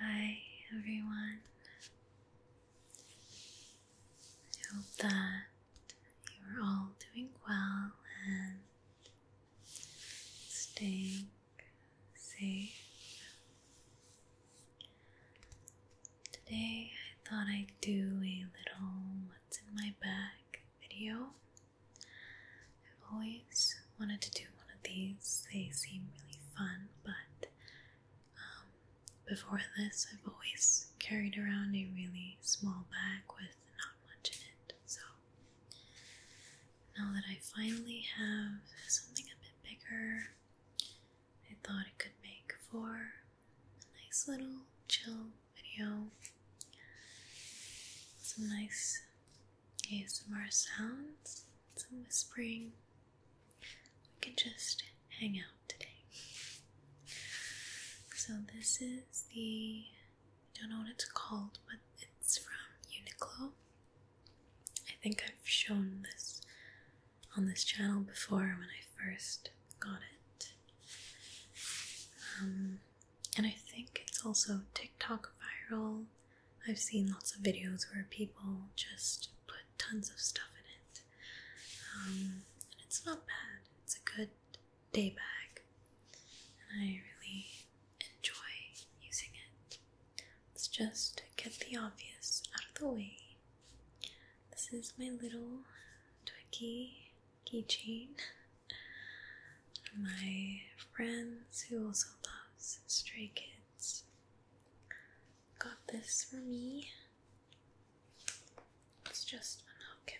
Hi, everyone. I hope that you are all doing well and staying safe. Today, I thought I'd do a little what's in my bag video. I've always wanted to do one of these. They seem really fun, but um, before this, I've always carried around a really small bag with not much in it. So now that I finally have something a bit bigger, I thought it could make for a nice little chill video. Some nice ASMR sounds, some whispering. We can just hang out today. So, this is the I don't know what it's called, but it's from Uniqlo. I think I've shown this on this channel before when I first got it. Um, and I think it's also TikTok viral. I've seen lots of videos where people just put tons of stuff in it. Um, and it's not bad, it's a good day bag, and I really enjoy using it. Let's just get the obvious out of the way. This is my little Twicky keychain. My friends who also loves Stray Kids got this for me. It's just a hook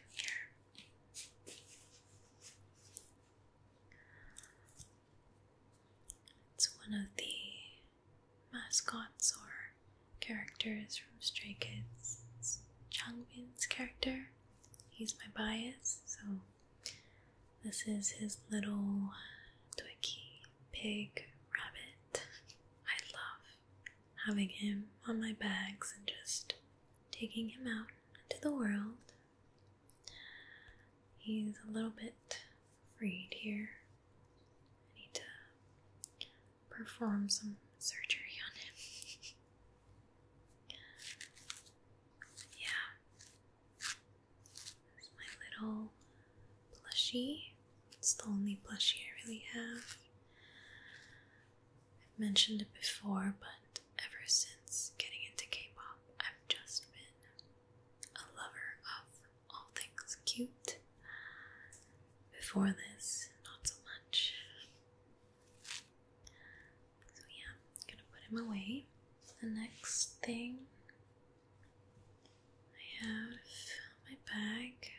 It's one of the mascots or characters from Stray Kids. It's Changbin's character. He's my bias, so this is his little Twinkie pig rabbit. I love having him on my bags and just taking him out into the world. He's a little bit freed here. I need to perform some surgery on him. Yeah. There's my little plushie. It's the only plushie I really have. I've mentioned it before, but ever since getting into K pop, I've just been a lover of all things cute. Before this, not so much. So yeah, gonna put him away. The next thing I have my bag.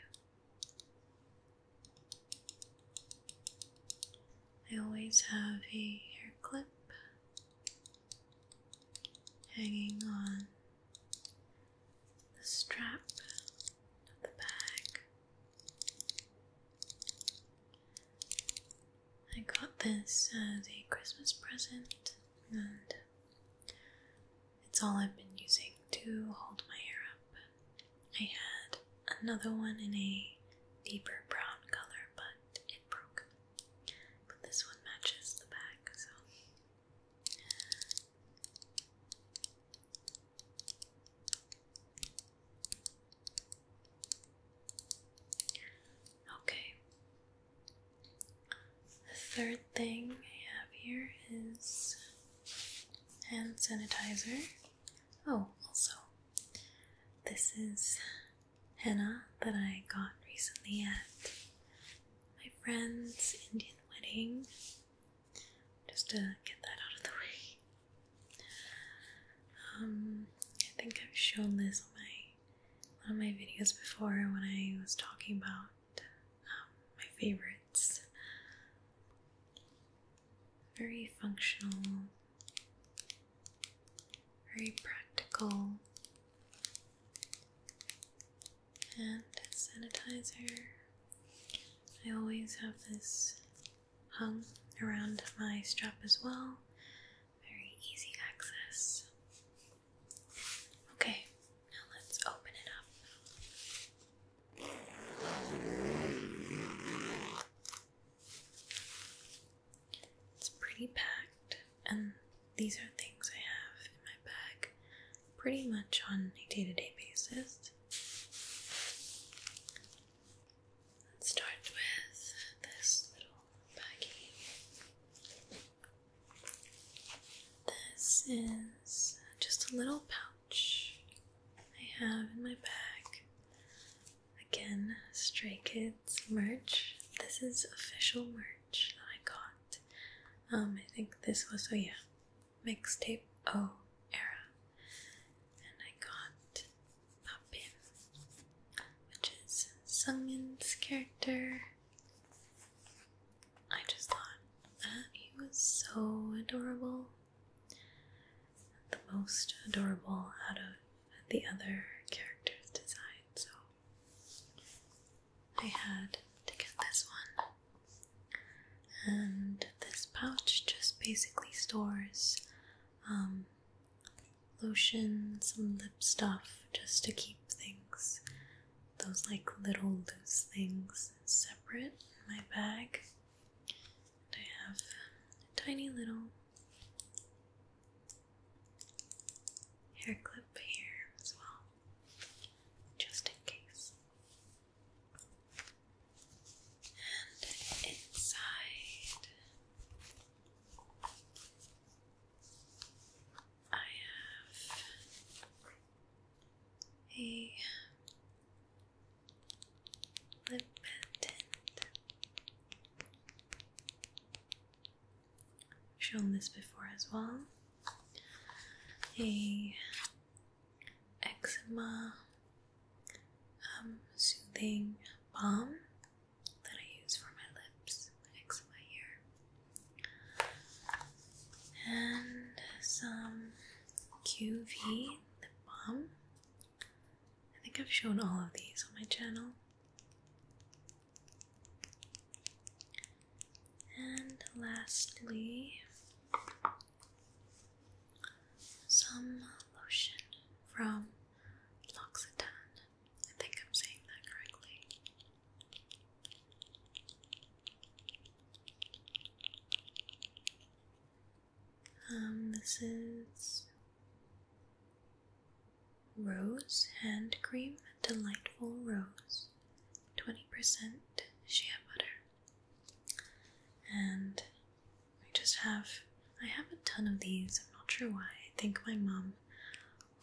I always have a hair clip hanging on the strap of the bag. I got this as a Christmas present, and it's all I've been using to hold my hair up. I had another one in a deeper brown color, but it broke. But this one matches the back, so Okay. The third thing I have here is hand sanitizer. Oh, also, this is henna that I got recently at my friend's Indian wedding. Just to get that out of the way. Um, I think I've shown this on my on my videos before when I was talking about um, my favorites. Very functional, very practical, and sanitizer. I always have this hung around my strap as well. Very easy access. Okay, now let's open it up. It's pretty packed, and these are things I have in my bag pretty much on a day to day basis. Let's start with this little baggy. This is just a little pouch I have in my bag. Again, Stray Kids merch. This is official merch that I got. Um, I think this was, oh yeah, mixtape O era and I got Papin, which is Sungmin's character. I just thought that ah, he was so adorable, the most adorable out of the other characters designed, so I had to get this one. And this pouch just basically stores um, lotion, some lip stuff, just to keep things, those like little loose things, separate in my bag. I have a tiny little hair clip here as well, just in case and inside I have a lip tint. i this before as well. A eczema um, soothing balm that I use for my lips, eczema here, and some QV lip balm. I think I've shown all of these on my channel. And lastly, some lotion from L'Occitane. I think I'm saying that correctly. Um, this is Rose Hand Cream, Delightful Rose, 20% shea butter and I just have I have a ton of these. I'm not sure why. I think my mom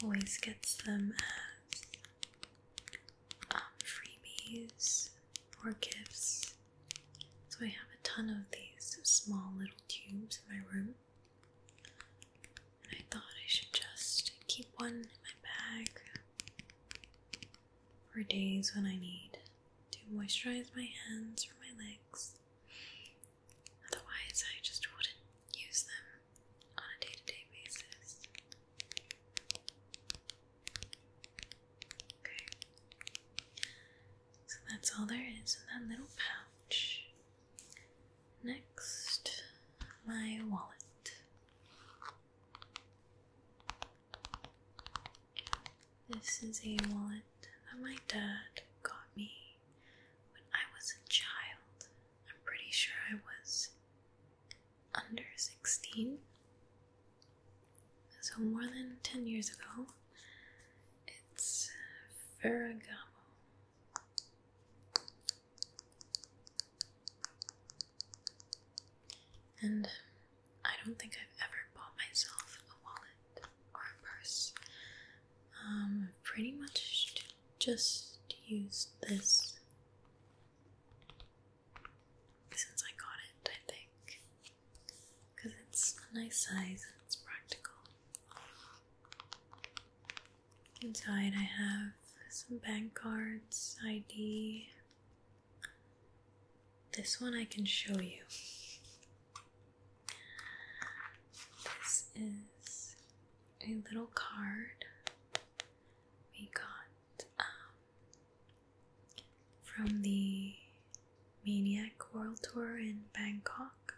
always gets them as um, freebies or gifts. So I have a ton of these small little tubes in my room. I thought I should just keep one in my bag for days when I need to moisturize my hands or my legs. Otherwise, I just wouldn't use them on a day to day basis. Okay, so that's all there is in that little pouch. Next, my wallet. This is a wallet that my dad got me when I was a child. I'm pretty sure I was under 16. So, more than 10 years ago. It's Ferragamo. And I don't think I've ever bought myself a wallet or a purse. Um, pretty much just use this since I got it, I think, because it's a nice size it's practical. Inside, I have some bank cards, ID, this one I can show you. This is a little card we got um, from the Maniac World Tour in Bangkok.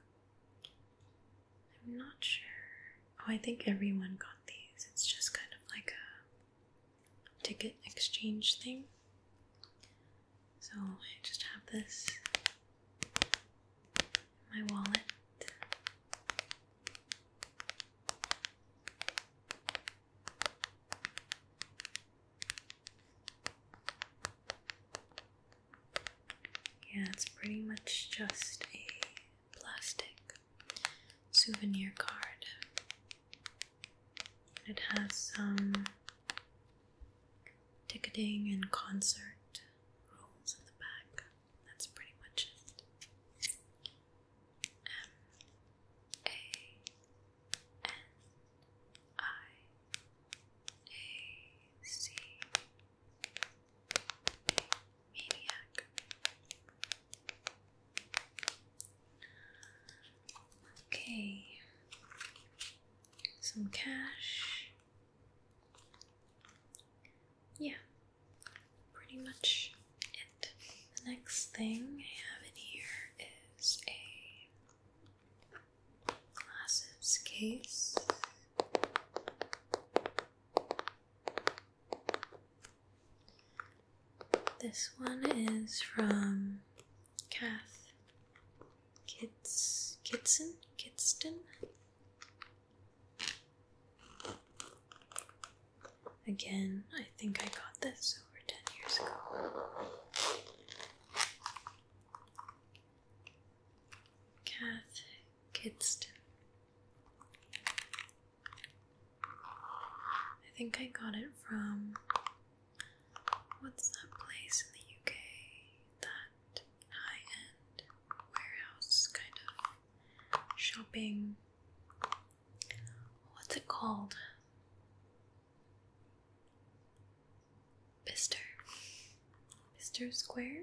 I'm not sure. Oh, I think everyone got these. It's just kind of like a ticket exchange thing. So I just have this my wallet. Yeah, it's pretty much just a plastic souvenir card it has some ticketing and concert rules in the back. That's pretty much it. M A N I A C Maniac. Okay, some cash. Yeah, pretty much it. The next thing I have in here is a glasses case. This one is from Kath Kits Kitson Kitston. Again, I think I got this over ten years ago. Kath Kitston. I think I got it from What's that place in the UK? That high end warehouse kind of shopping. What's it called? Bister. Bister Square?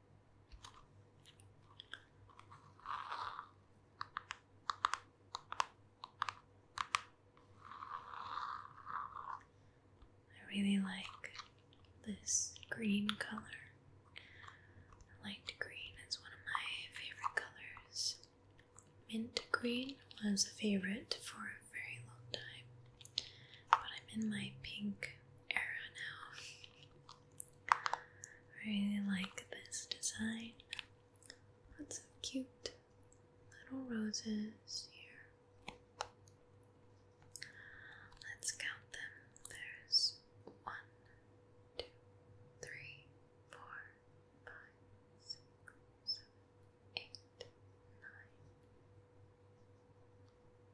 I really like this green color. Light green is one of my favorite colors. Mint green was a favorite for a very long time, but I'm in my pink era now. I really like this design. Lots of cute little roses here. Let's count them. There's one, two, three, four, five, six, seven, eight, nine.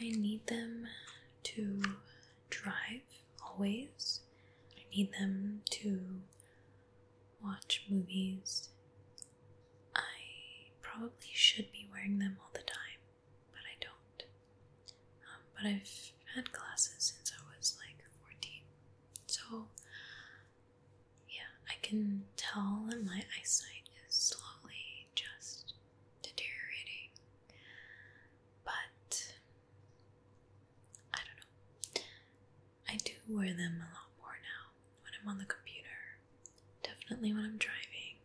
I need them to drive always. I need them to watch movies. I probably should be wearing them all the time, but I don't. Um, but I've had glasses since I was like 14, so yeah, I can tell that my eyesight is slowly just deteriorating. But I don't know. I do wear them a lot more now when I'm on the computer, definitely when I'm driving,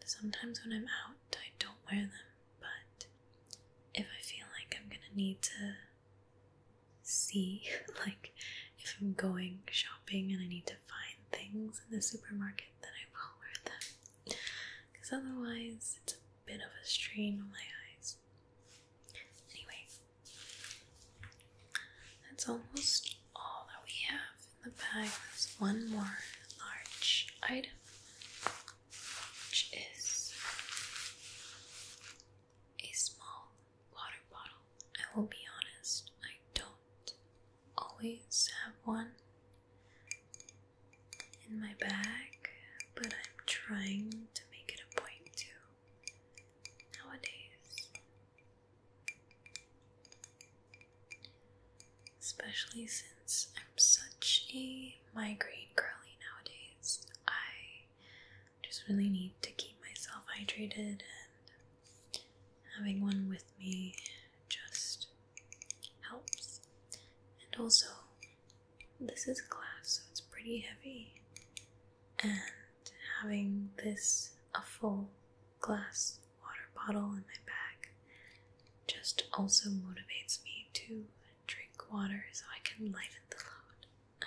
and sometimes when I'm out, I don't wear them. But if I feel like I'm gonna need to see, like if I'm going shopping and I need to find things in the supermarket, then I will wear them because otherwise it's a bit of a strain on my eyes. Anyway, that's almost all that we have in the bag. There's one more large item, which is a small water bottle. I will be honest, I don't always have one in my bag, but I'm trying to make it a point to nowadays. Especially since I'm such a migraine girly nowadays, I just really need to keep myself hydrated and having one with me just helps. And also, this is glass, so it's pretty heavy. And having this a full glass water bottle in my bag just also motivates me to drink water so I can lighten the load.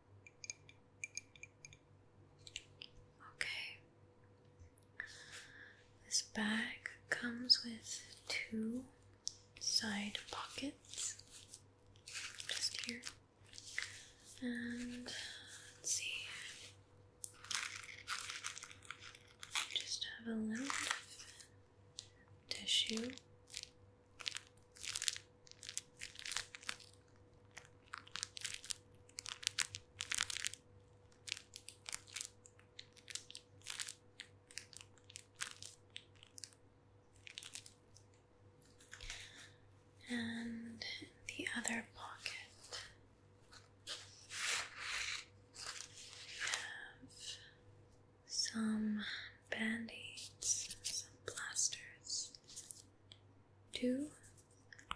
Okay. This bag comes with two side pockets just here. And let's see. Just have a little bit of tissue and the other pocket, we have some band-aids, some plasters, two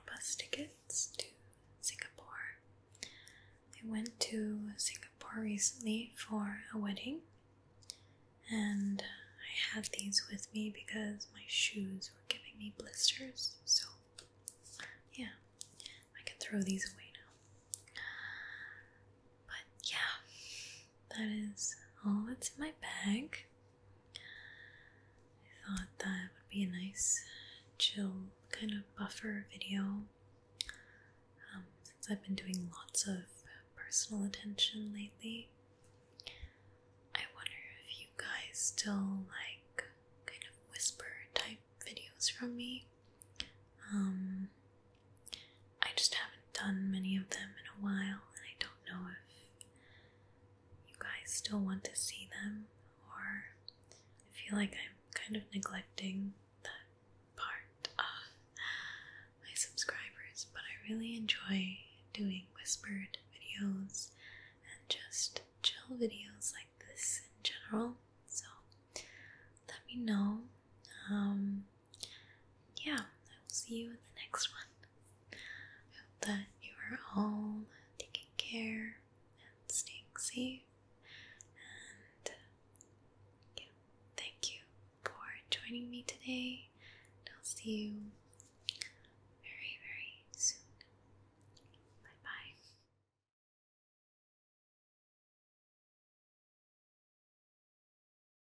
bus tickets to Singapore. I went to Singapore recently for a wedding and I had these with me because my shoes were giving me blisters, so yeah, I can throw these away now. But yeah, that is all that's in my bag. I thought that would be a nice, chill kind of buffer video um, since I've been doing lots of personal attention lately. I wonder if you guys still like kind of whisper type videos from me. Um, I just haven't done many of them in a while, and I don't know if you guys still want to see them, or I feel like I'm kind of neglecting that part of my subscribers, but I really enjoy doing whispered videos and just chill videos like this in general. So let me know. Um, yeah, I will see you in the next one. I hope that you are all taking care and staying safe. And yeah, thank you for joining me today. And I'll see you very, very soon. Bye bye.